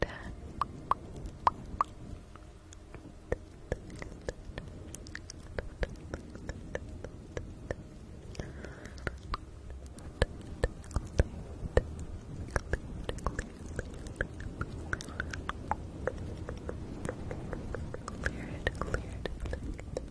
Ten. Cleared, cleared, cleared.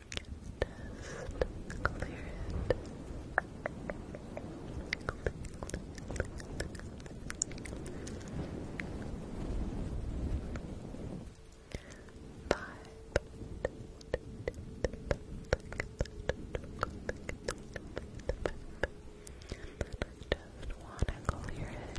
Just clear it. Five. Just wanna clear it.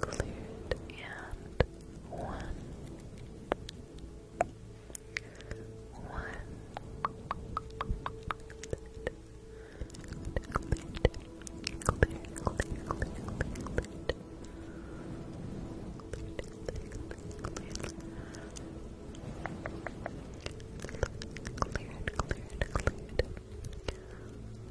glued and one one glued glued glued glued glued glued Cleared, cleared, cleared.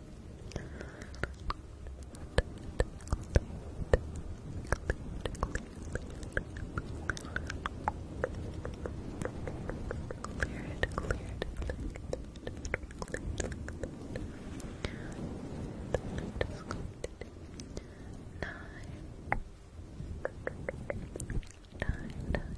Clear it, clear it, Nine, nine,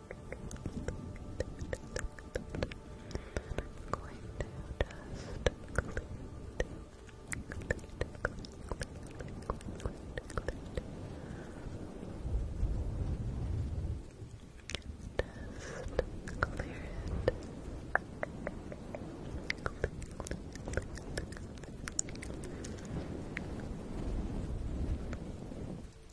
I'm going to just just clear it. Clear, clear, clear, clear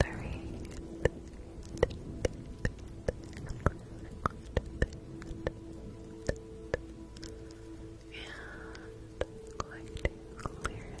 three, and going to clear it.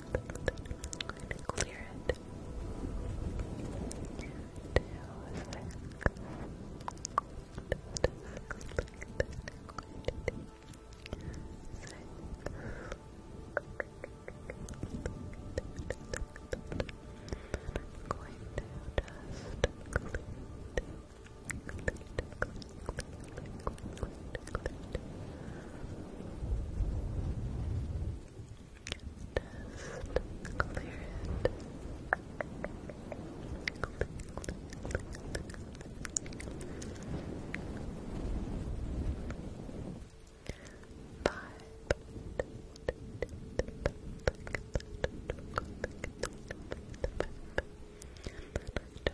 and clear it. six. I'm going to just just clear it. Five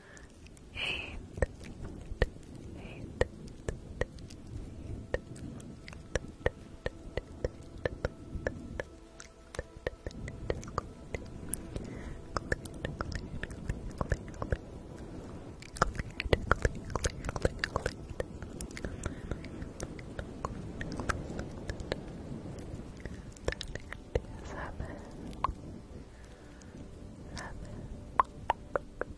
eight, eight, Seven, seven, six,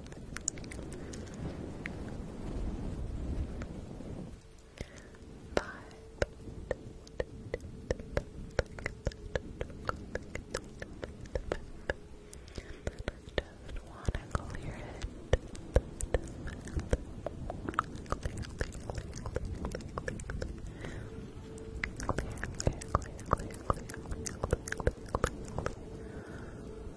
just want to clear it.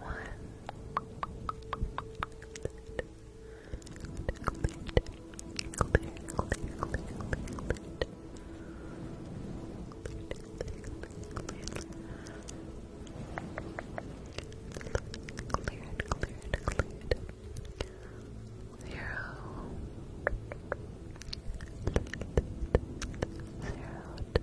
One. Clear, clear, clear, clear, clear. Cleared, cleared, cleared. Zero. Zeroed.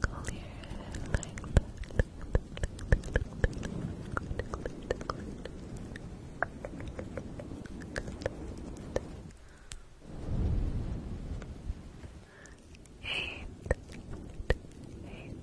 clear like Eight, eight, eight.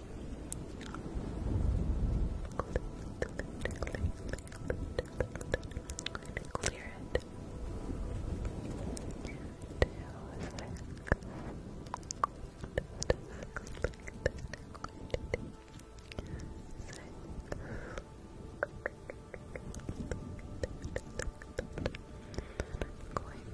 Clear it. I'm going to just clean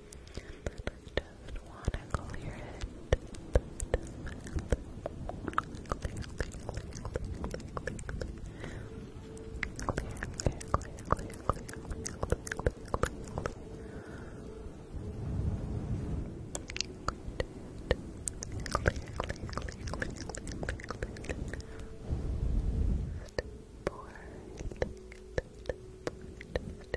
Just wanna clear your head. Clear, clear, clear, clear, clear, clear, clear, clear, clear, clear, clear, clear, clear, clear. Clear, clear, clear, clear, clear, clear, clear. Step forward, step forward, step forward, step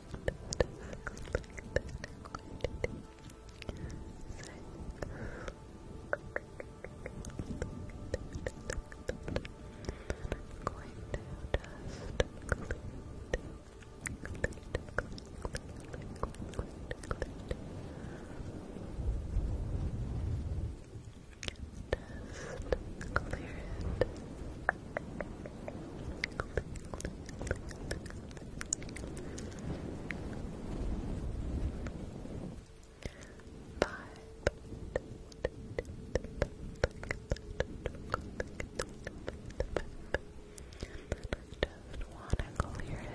just clear it just want to clear it.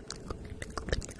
and going to clear it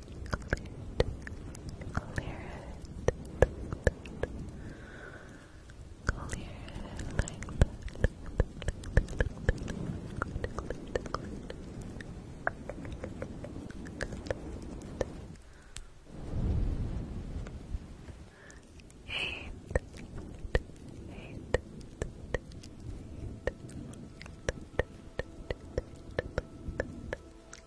Eight. Eight.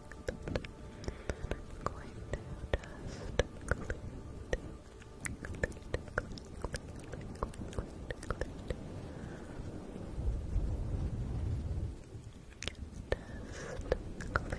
I'm going clear it. Five,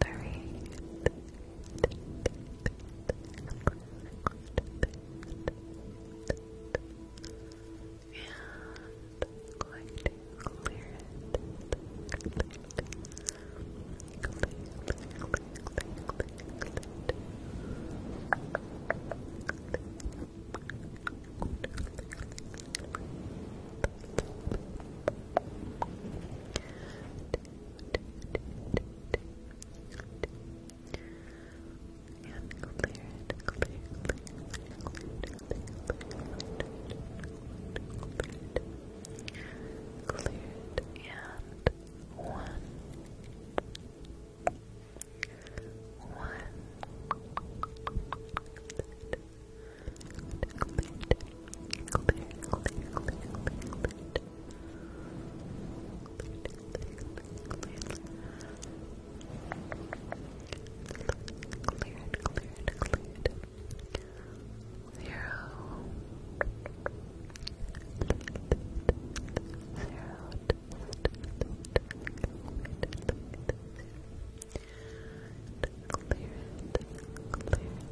three. And going to and clear it, clear, clear, clear, clear, clear, clear, clear, clear, and one, one, cleared, cleared, clear, clear, clear, clear, clear. Cleared, cleared, cleared. Zero. Zero. Cleared, cleared,